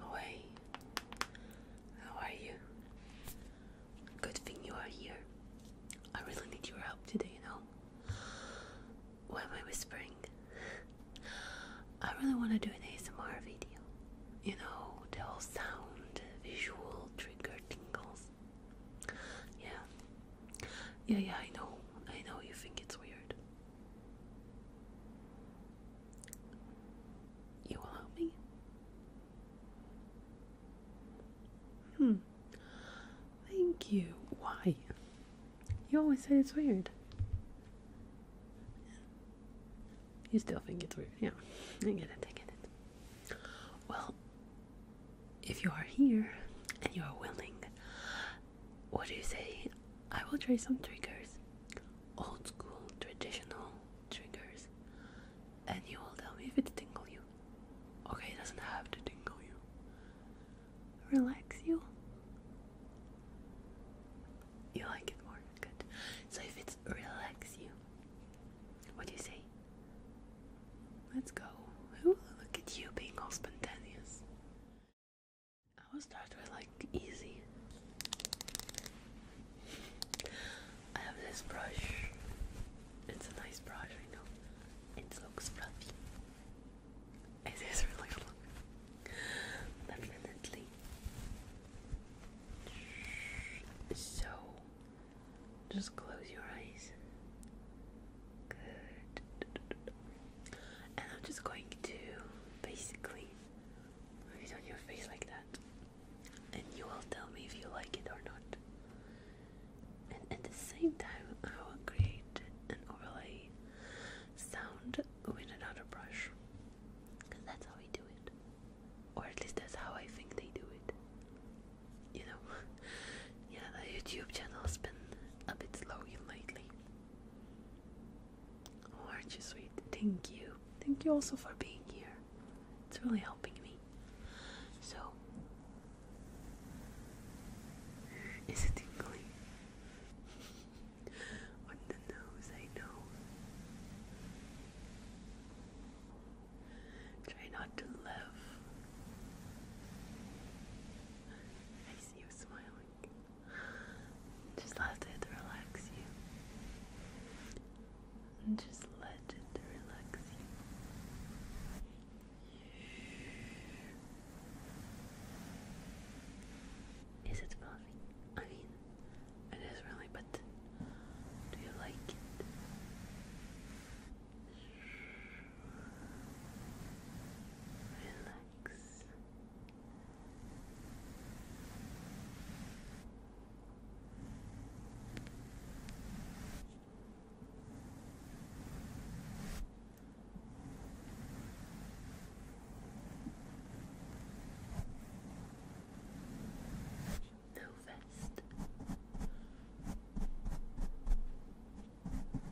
Hi, how are you? Good thing you are here. I really need your help today, you know? Why am I whispering? I really want to do an ASMR video. You know, the whole sound, visual, trigger, tingles. Yeah. Yeah, yeah, I know. I know you think it's weird. You will help me? Hmm. Thank you. Why? You always say it's weird. You still think it's weird. Yeah, I get it, I get it. Well, if you are here and you are willing, what do you say? I will try some triggers. Old school, traditional triggers. And you will tell me if it tingle you. Okay, it doesn't have to tingle you. Relax you. You like it more? Good. So if it's relax you, what do you say? Let's go. Ooh, look at you being spontaneous. I will start with like easy. I have this brush. It's a nice brush, I know. It looks fluffy. It is really fluffy. Definitely. So, just close your eyes Good. And I'm just going to basically move it on your face like that. And you will tell me if you like it or not. And at the same time, I will create an overlay sound with another brush. Because that's how we do it. Or at least that's how I think they do it. You know? yeah, the YouTube channel's been a bit slowy lately. Oh, aren't you sweet? Thank you. Thank you also for being here. It's really helping me. So, is it tingly? On the nose, I know. Try not to laugh. You're smiling. Just let it relax you. And just let it relax you. Is it fluffy? I mean, it is really, but do you like it? Relax. No vest.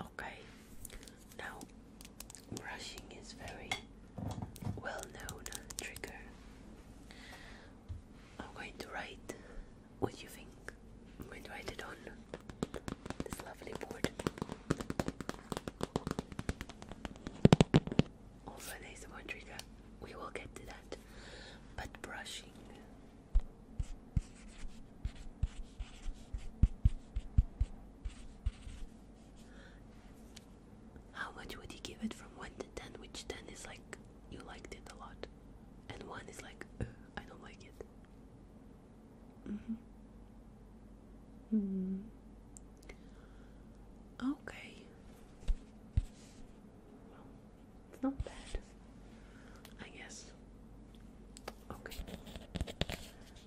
Okay, now brushing is very well known trigger. I'm going to write what you think. I'm going to write it on this lovely board. Also an ASMR trigger. We will get to that. But brushing how much would you give it from 1 to 10? Which 10 is like you liked it a lot, and 1 is like I don't like it. Mm -hmm. Mm -hmm. Okay. Well, it's not bad, I guess. Okay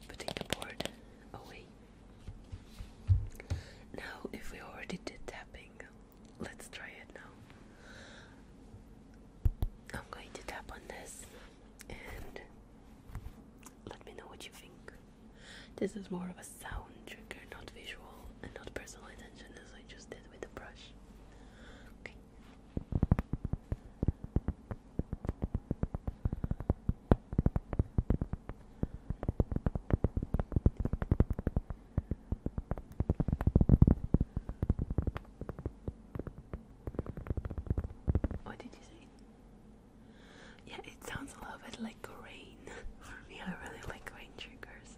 putting the board away. Now, if we already did tapping, let's try it now. I'm going to tap on this and let me know what you think. This is more of a sound trigger, not visual, and not personal attention as I just did with the brush. Okay. What did you say? Yeah, it sounds a little bit like rain for me. I really like rain triggers.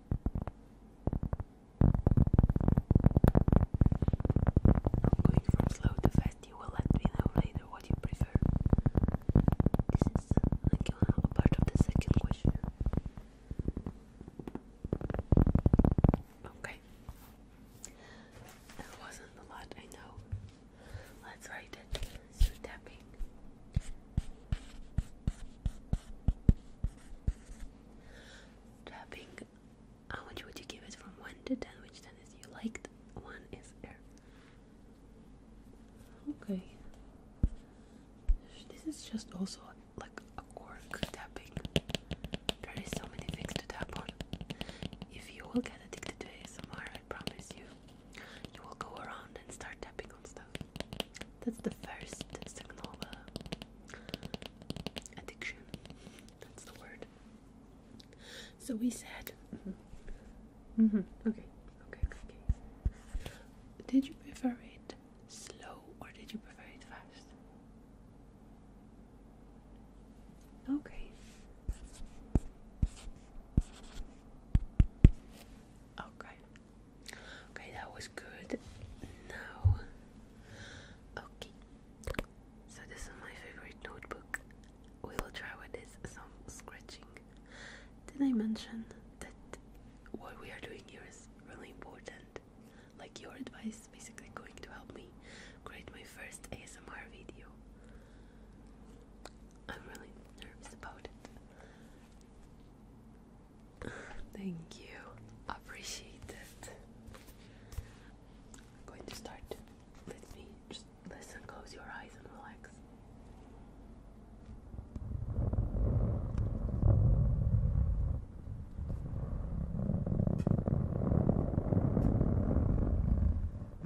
going from slow to fast. You will let me know later what you prefer. This is like a part of the second question. Okay. That wasn't a lot, I know. Let's write it through tapping. Tapping. How much would you give it from 1 to 10? Which 10 is you liked? 1 is there. Okay. This is just also like a cork tapping. There is so many things to tap on. If you will get addicted to ASMR, I promise you, you will go around and start tapping on stuff. That's the first signal of uh, addiction. That's the word. So we said. Mm-hmm. Mm-hmm. Okay. Okay. Okay. Did you prefer it slow or did you prefer it fast? Okay. Okay. Okay, that was good. Now, okay. So this is my favorite notebook. We will try with this some scratching. Did I mention that what we are doing here is really important? Like your advice, basically going to help me create my first ASMR video. I'm really nervous about it. Thank you. Appreciate it. I'm going to start. Let me just listen, close your eyes and relax.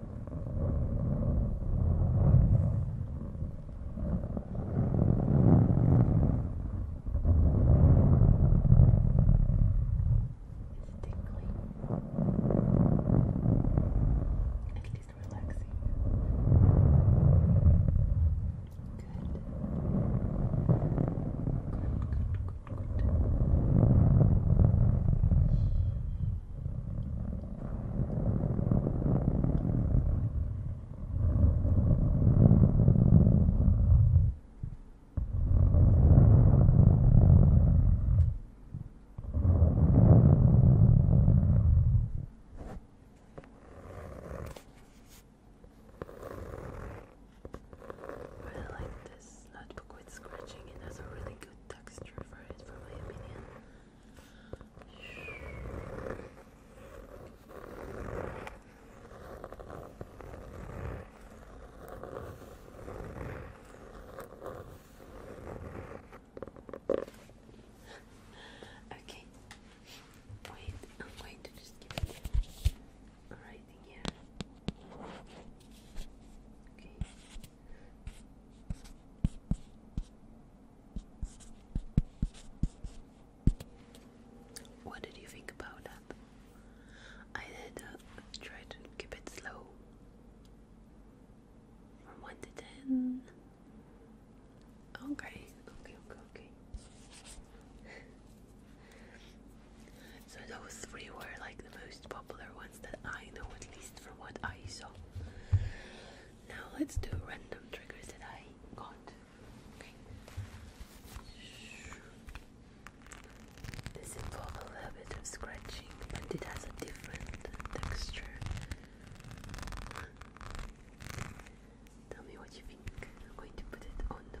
At least relaxing. Good. Good, good, good. I like this not notebook quit scratching. It has a really good texture for it, for my opinion. okay. Wait, I'm going to just keep writing here. What did you think about that? I did uh, to keep it slow. From 1 to 10. Okay, okay, okay, okay. So those three were like the most popular ones that I know, at least from what I saw. Now let's do random triggers that I got. This involves a little bit of scratching, and it has a different texture. Tell me what you think. I'm going to put it on the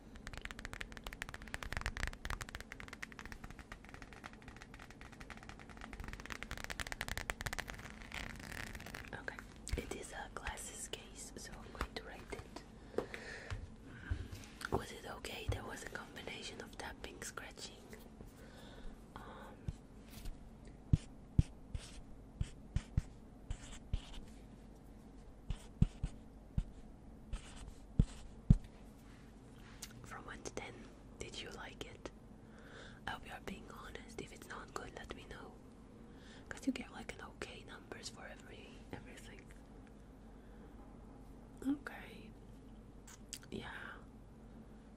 Okay, it is a glasses case, so I'm going to write it. Mm-hmm. Was it okay? There was a combination of tapping, scratching. Um, from 1 to 10, did you like it? I hope you are being honest. If it's not good, let me know. Because you get like an okay numbers for every everything. Okay. Yeah.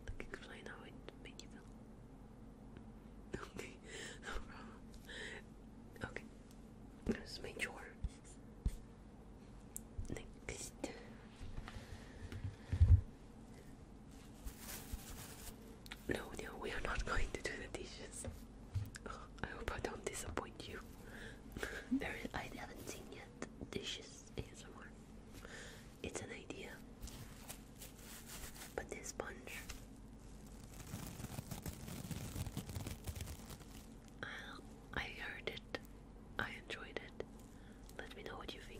Like explain how it made you feel. Okay, Okay, that's my chore. Next. No, no, we are not going to do the dishes. I hope I don't disappoint you. I haven't seen yet dishes It's an idea. But this sponge I heard it. I enjoyed it. Let me know what you think.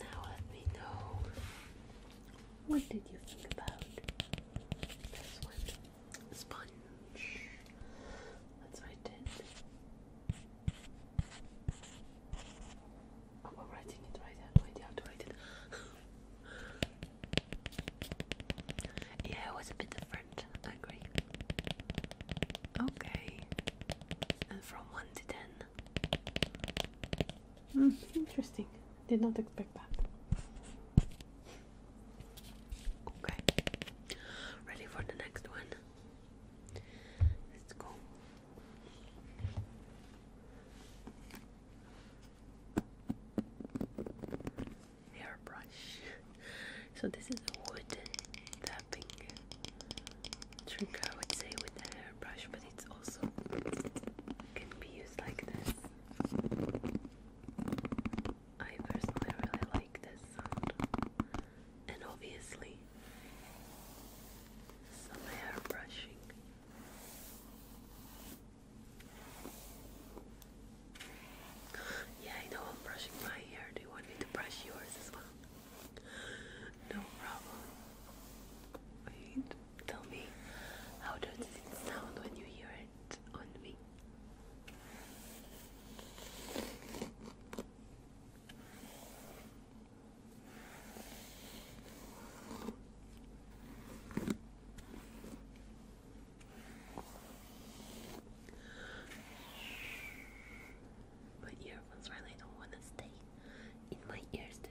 Now let me know what did you think about this one? Sponge. Let's write it. i yeah, it was a bit different. I agree. Okay. And from 1 to 10. Mm, interesting. Did not expect that. Okay. Ready for the next one? Let's go. Hairbrush. so this is a wooden tapping trick I would say with the hairbrush, but it's also can be used like this. I personally really like this sound and obviously some hair brushing. Yeah, I know I'm brushing my hair. Do you want me to brush yours as well? No problem. Wait, tell me, how does it sound when you hear it on me? My earphones really don't want to stay in my ears today.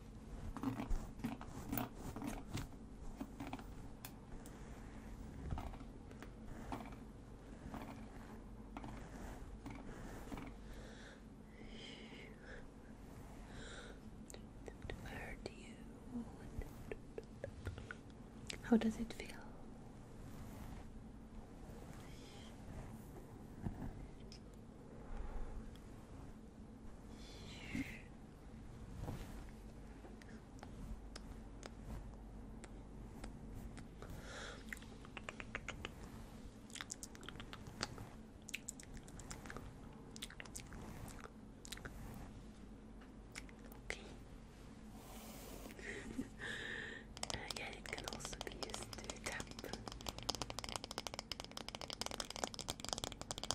How does it feel? Okay. uh, it can also be used to tap.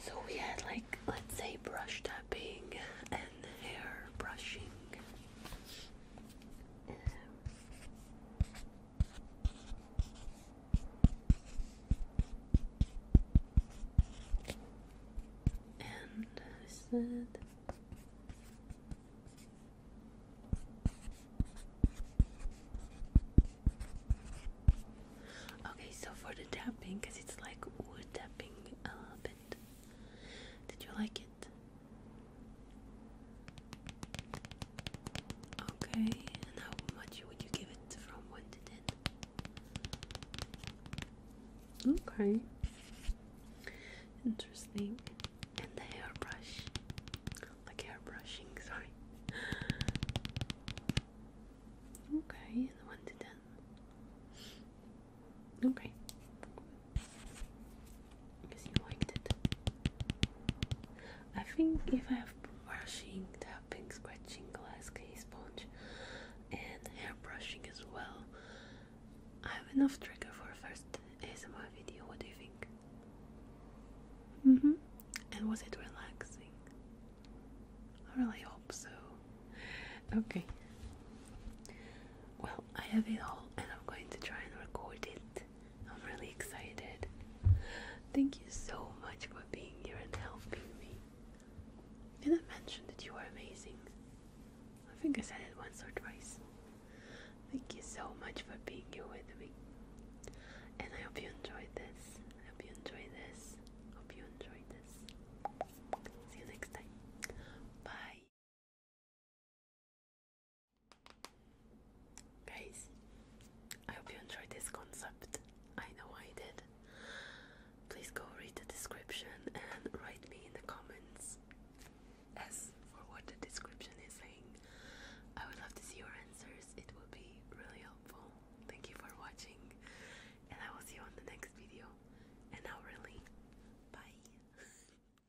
So we had like let's say brush tapping and hair brushing. And said Okay, so for the tapping, because it's like wood tapping a little bit. Did you like it? Okay, and how much would you give it from 1 to 10? Okay. Interesting. And the hairbrush. Like hairbrushing, sorry. Okay, and 1 to 10. Okay because you liked it. I think if I have brushing, tapping, scratching, glass case, sponge, and hair brushing as well, I have enough trigger for a first ASMR video. What do you think? Mm hmm. And was it relaxing? I really hope so. Okay. Well, I have it all, and I'm going to try and record it I'm really excited. Thank you so much for being here and helping me. Did I mention that you are amazing? I think I said it once or twice. Thank you so much for being here with me. And I hope you enjoyed this. I hope you enjoyed this. Hope you enjoyed this. See you next time. Bye. Guys, I hope you enjoyed this concept. I know I did. Please go read the description and write me in the comments as for what the description is saying. I would love to see your answers, it will be really helpful. Thank you for watching, and I will see you on the next video. And now, really, bye.